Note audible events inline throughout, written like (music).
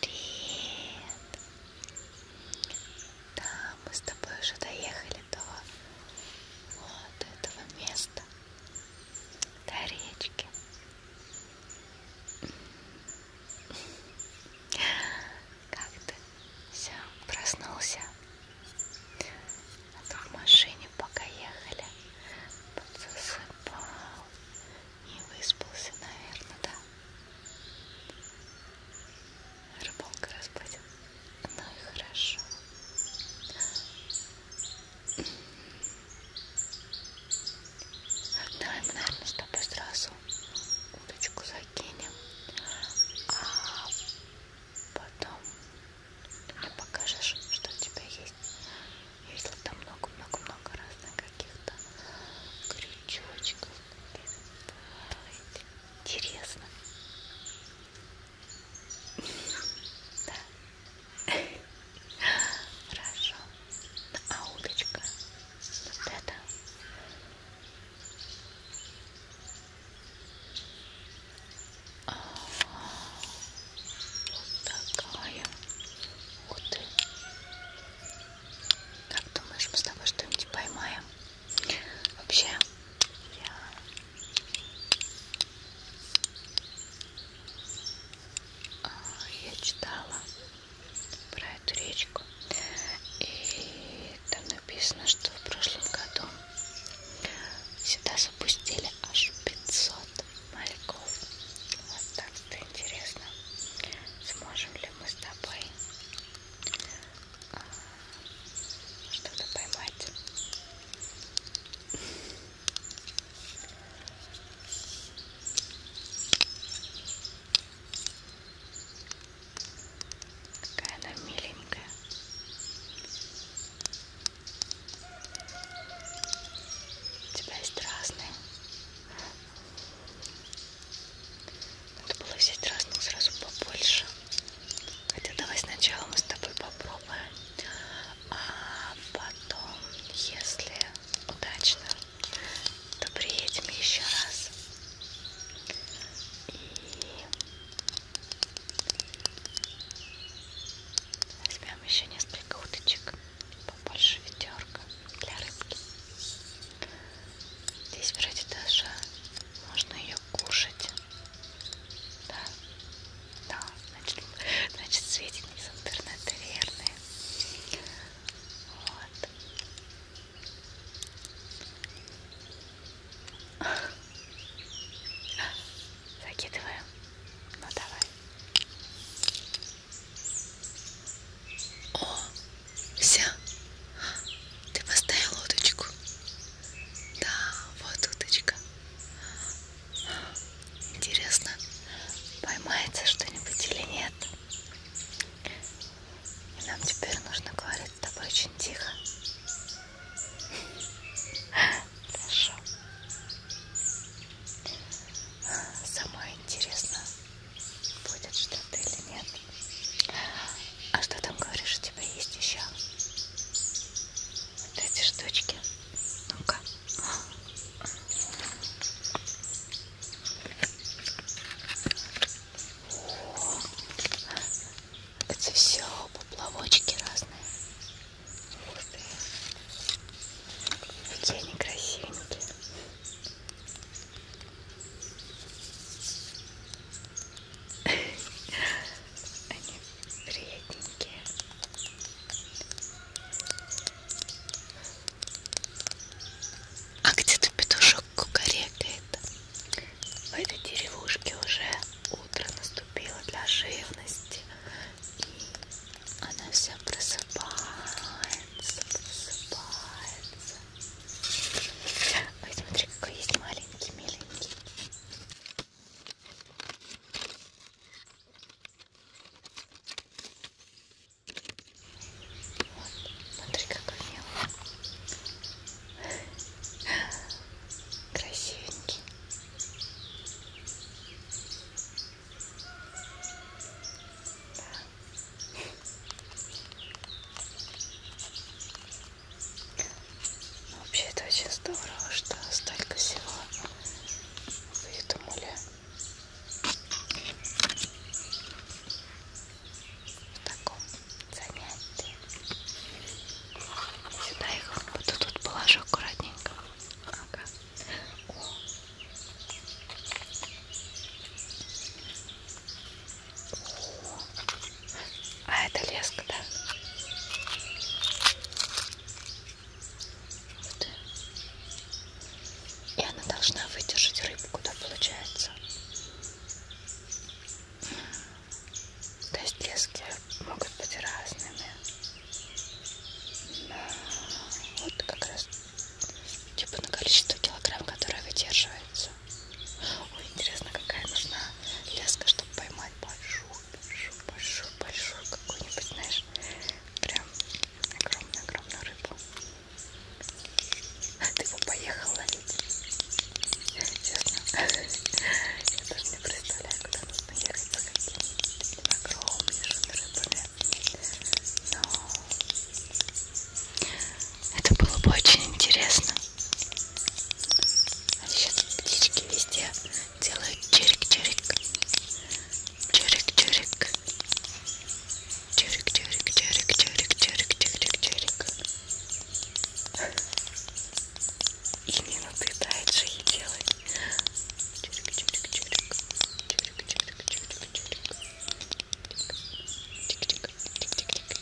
Привет! Да, мы с тобой уже доехали до вот этого места, до речки. Как ты? Все, проснулся в машине, пока ехали, подзасыпал, не выспался, наверное, да? Рыбалка разбудил. Ну и хорошо. Давай ну, мы, наверное, с тобой сразу удочку закинем. А потом ты мне покажешь, что у тебя есть. Если там много-много-много разных каких-то крючочков. Интересно. Да. Хорошо. Ну, а удочка? Вот это? Вот такая. Ух ты. Как думаешь, мы с тобой что-нибудь поймаем? Вообще, я... Я читала про эту речку, и там написано, что в прошлом году Сюда запустили аж 500 мальков. Вот так-то интересно, сможем ли мы с тобой а, что-то поймать. Какая она миленькая. У тебя есть разные. Надо было взять разных сразу побольше. Хотя давай сначала мы с тобой попробуем. А потом, если удачно, то приедем еще раз. И Возьмем еще несколько уточек, побольше ведерка для рыбки. Здесь вроде даже можно ее кушать. Да, да, значит, значит сведения из интернета верные. Вот. Закидываем. Ну давай. О, все. Ты поставил удочку. Да, вот удочка. Интересно, поймается что-нибудь или нет. И нам теперь нужно говорить с тобой очень тихо. Хорошо. Самое интересное, будет что-то или нет. А что там говоришь, у тебя есть еще? Вот эти штучки. Ну-ка. Это все поплавочки разные. Какие они красивенькие. Они приятненькие. А где-то петушок кукарекает. В этой деревушке уже утро наступило для живности, и она вся просыпается, просыпается. Ой, смотри, какой есть маленький, миленький. Вот, смотри, какой мелкий. Красивенький. Да. Ну, вообще это очень здорово, что столько всего выдумали. В таком занятия. Сюда их вот тут вот положу аккуратненько. Ага. О. О. А это леска, да? Вот. И она должна выдержать рыбку, да, получается. То есть лески могут быть разными. Но вот как раз типа на количество килограмм, которое выдерживается. Ой, интересно, какая нужна леска, чтобы поймать большую, большую, большую, большую какую-нибудь, знаешь, прям огромную-огромную рыбу. Ты бы поехала Честно, я даже не представляю, куда нужно ехать за какими-то огромнейшими рыбами. Но это было бы очень интересно. А сейчас птички везде делают чирик-чирик. Чирик-чирик. Чирик-чирик-чирик-чирик-чирик-чирик. И не надоедает же и делать. Чирик, чирик, чирик. Чирик, чирик, чирик, чирик. Чик, чик, чик, чик, чик, чик, чик,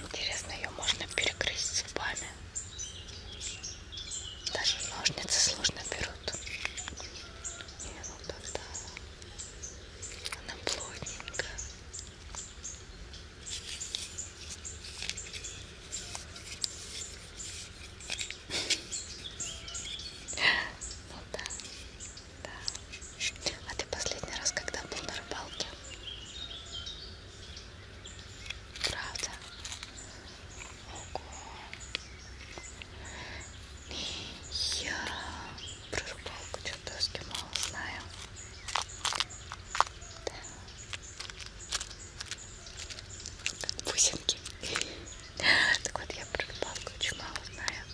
Интересно, ее можно перегрызть зубами. Даже ножницы сложно берут. И ну тогда она плотненькая. (laughs) Ну да. Да. А ты последний раз когда был на рыбалке? Правда? Ого. Я про рыбалку чертовски мало знаю. Да. Бусинки. (laughs) Так вот, я про рыбалку очень мало знаю.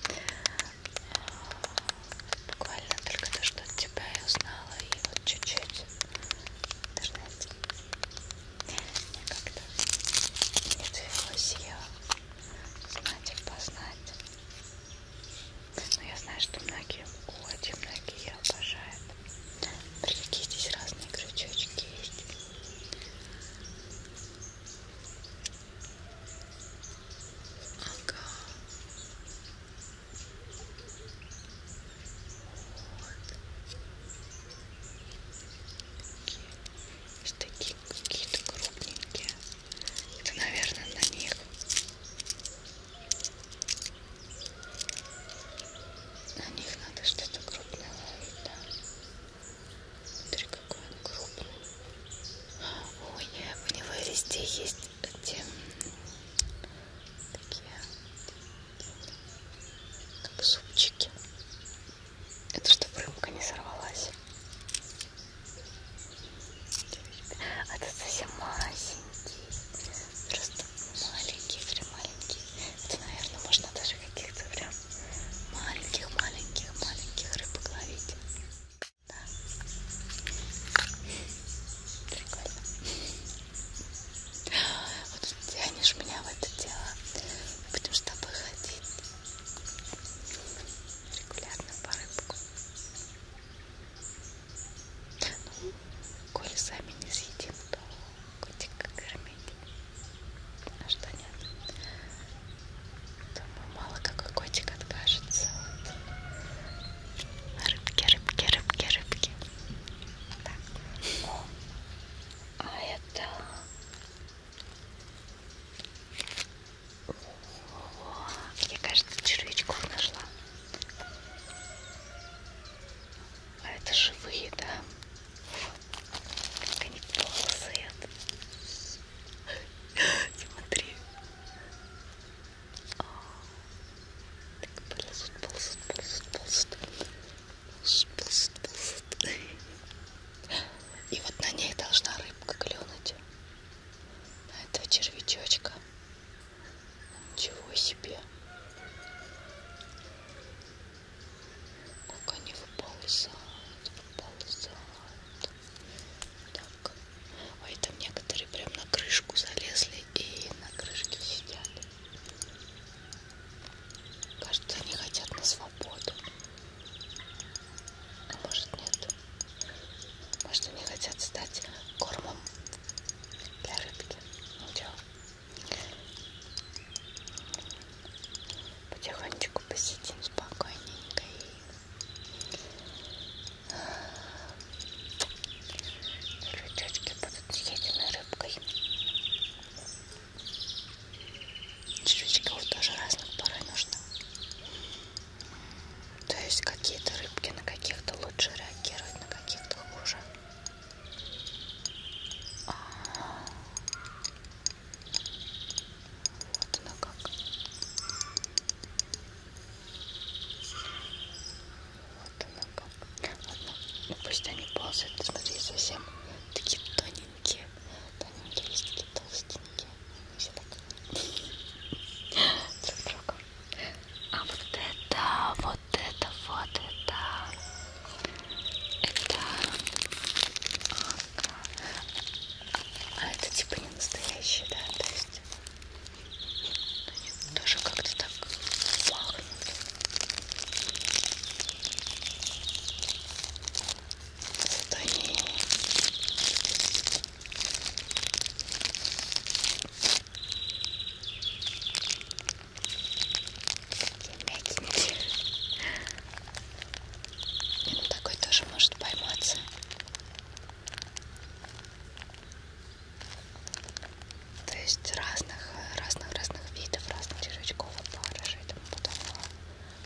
Буквально только то, что от тебя я узнала, и вот чуть-чуть даже знаете, мне как-то не довелось ее знать и познать. Но я знаю, что многие уходят, и многие ее обожают. Прикиньте, здесь разные крючочки есть. I'll go вот такие какие-то крупненькие это наверное на них на них надо что-то крупное ловить да Смотри, какой он крупный. Ой, у него везде есть эти такие как зубчики. Это чтобы рыбка не сорвалась. А тут совсем масенький. Просто маленький, прям маленький. Это, наверное, можно даже каких-то прям маленьких, маленьких, маленьких рыбок ловить. Прикольно. Вот тянешь меня в это дело. Будем с тобой ходить. Регулярно по рыбку. Ну, коли сами не съедим, то котика кормить. А что нет? Думаю, мало какой котик откажется. Вот. Рыбки, рыбки, рыбки, рыбки. Так. О. А это... О, мне кажется, червячков нашла. А это живые, да? Вот. Как они ползают. Смотри. А, так, ползут, ползут, ползут, ползут. Ползут, ползут, ползут. И вот на ней должна рыбка клюнуть. На этого червячочка. Ничего себе. Как они выползают, выползают. Так. Ой, там некоторые прям на крышку залезли и на крышке сидят. Кажется, они хотят на свободу. А может нет. Может они хотят стать кормом для рыбки. Ну чё. Потихонечку посидим спокойненько и Рычачки будут съедены рыбкой. Червячков тоже разных порой нужно. То есть какие-то рыбки на каких-то лучше реагируют, на каких-то хуже. А -а -а. Вот она как. Вот она как. Ладно, ну пусть они ползают. Смотри, совсем такие тоненькие. Тоненькие есть такие толстенькие. Они все так (laughs) друг друга. А вот это, вот это, вот это. Это а, а это типа не настоящий, да? То есть они тоже как-то так пахнут. Вот они. Такие мягенькие. Нет, ну, такой тоже может пойматься. То есть разных, разных, разных видов, разных червячков, опарышей и тому подобного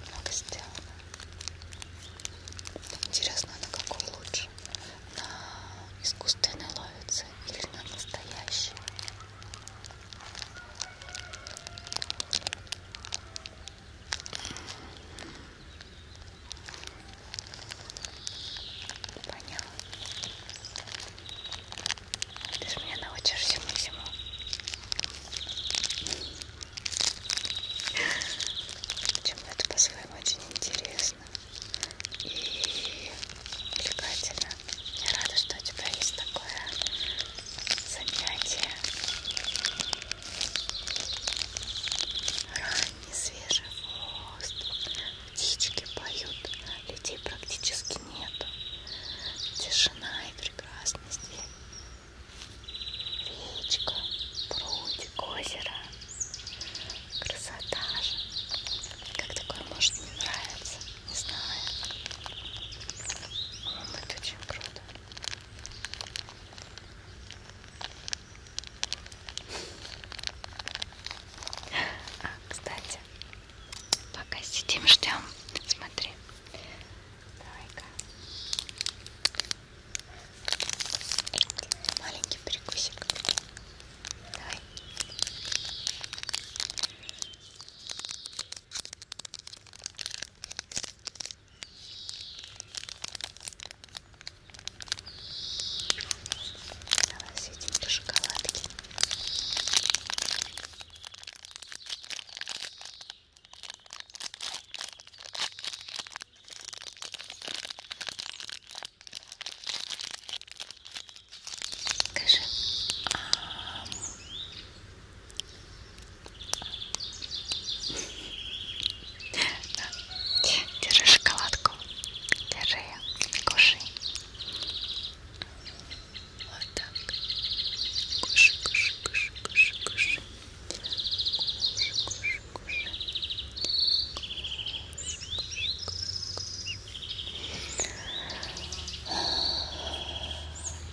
много сделано. Интересно, а на какой лучше? На искусственной ловится или на настоящей? Поняла. Ты же меня научишь всему-всему. Причем это по-своему очень интересно и увлекательно. Я рада, что у тебя есть такое занятие ранний свежий воздух птички поют людей практически нету тишина и прекрасность речка прудик озеро красота же как такое может не нравиться не знаю но это очень круто а, кстати, пока сидим, ждем. Смотри. Давай-ка. Маленький перекусик. Давай. Давай съедим по шоколадке. Скажи, а Держи шоколадку. Держи ее. Кушай. Вот так. Кушай, кушай, кушай, кушай, кушай. Кушай, кушай, кушай.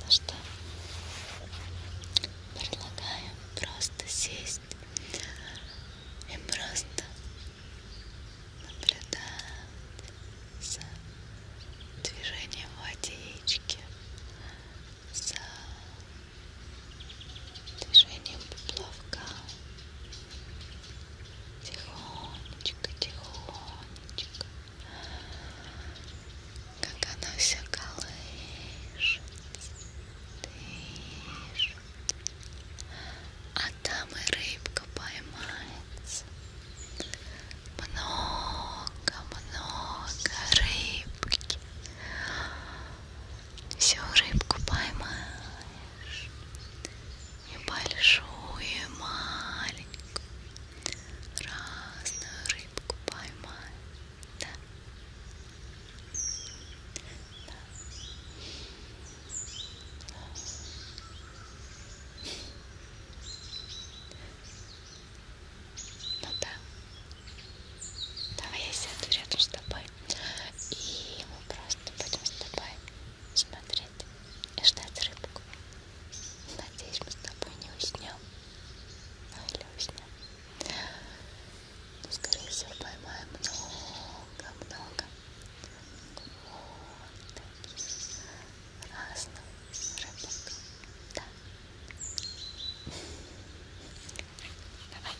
Ну что? Предлагаю просто сесть и просто наблюдать за движением водички, за движением поплавка. Тихонечко, тихонечко как она все колышет, дышит, а там и рыбка поймается. Много-много рыбки. Всю рыбку поймаешь. И большую, и маленькую разную рыбку поймаем, а? да? да. Ну да. Давай я сяду рядом с тобой. И мы просто будем с тобой смотреть и ждать рыбку. Надеюсь, мы с тобой не уснем. Ну или уснем. Но, ну, скорее всего, поймаем много-много. Вот таких разных рыбок. Да. Давай.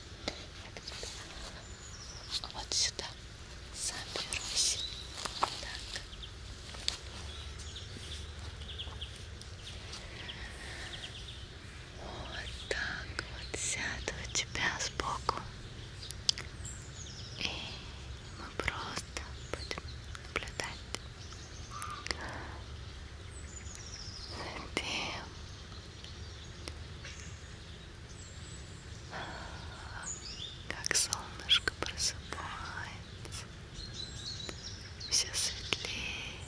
Вот сюда. Заберусь. Так. Вот так вот сяду у тебя сбоку. И мы просто будем наблюдать за тем, как солнышко просыпается все светлеет,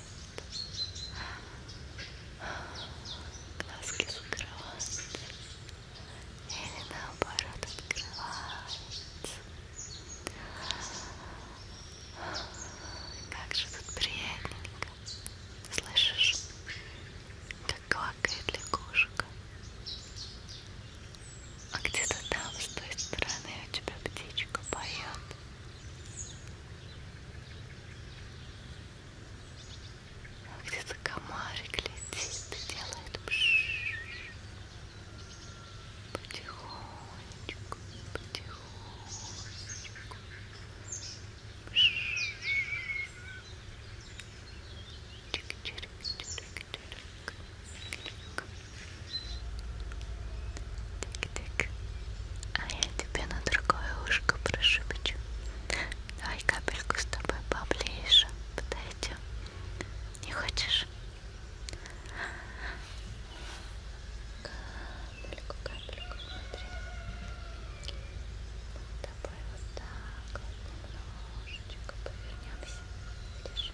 глазки закрываются или наоборот открываются. Как же тут приятненько, слышишь, как квакает лягушка. А где-то там, с той стороны, у тебя птичка поет. А где-то комарик летит и делает пшш. Потихонечку, потихонечку. Пшш. Чик-чирик-чирик. Так, так. А я тебе на другое ушко прошепчу. Давай капельку с тобой поближе подойдем. Не хочешь? Капельку, капельку, смотри. Мы с тобой вот так вот немножечко повернемся. Видишь?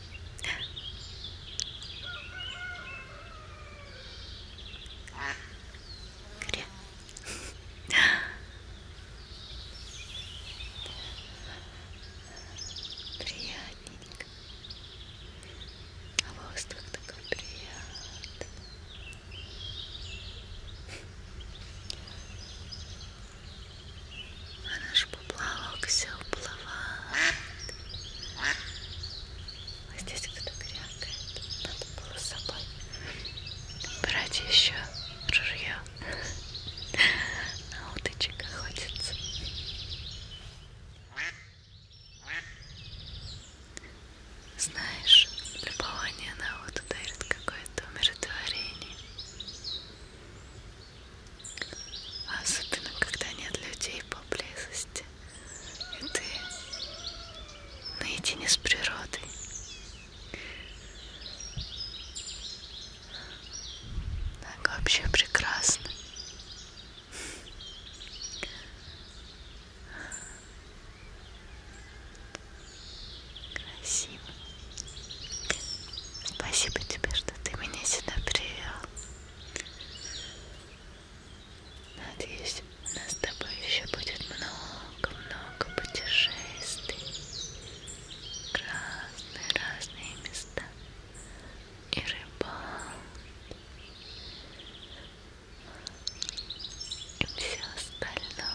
그래. Приятненько. А воздух такой приятный а наш поплавок все уплывает. А здесь кто-то грякает, надо было с собой брать еще ружье. На уточек охотится. Знаешь, любование на уту дарит какое-то умиротворение. Особенно, когда нет людей поблизости. И ты наедине с природой. Так вообще прекрасно. Красиво. Спасибо тебе, что ты меня сюда привел. Надеюсь, у нас с тобой еще будет много-много путешествий. Разные-разные места. И рыбалки. И все остальное.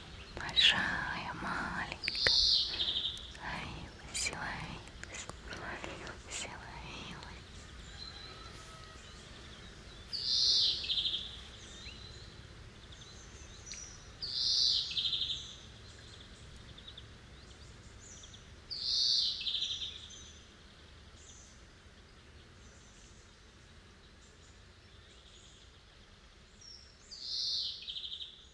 большая, маленькая, ловилась, ловилась, ловилась, ловилась.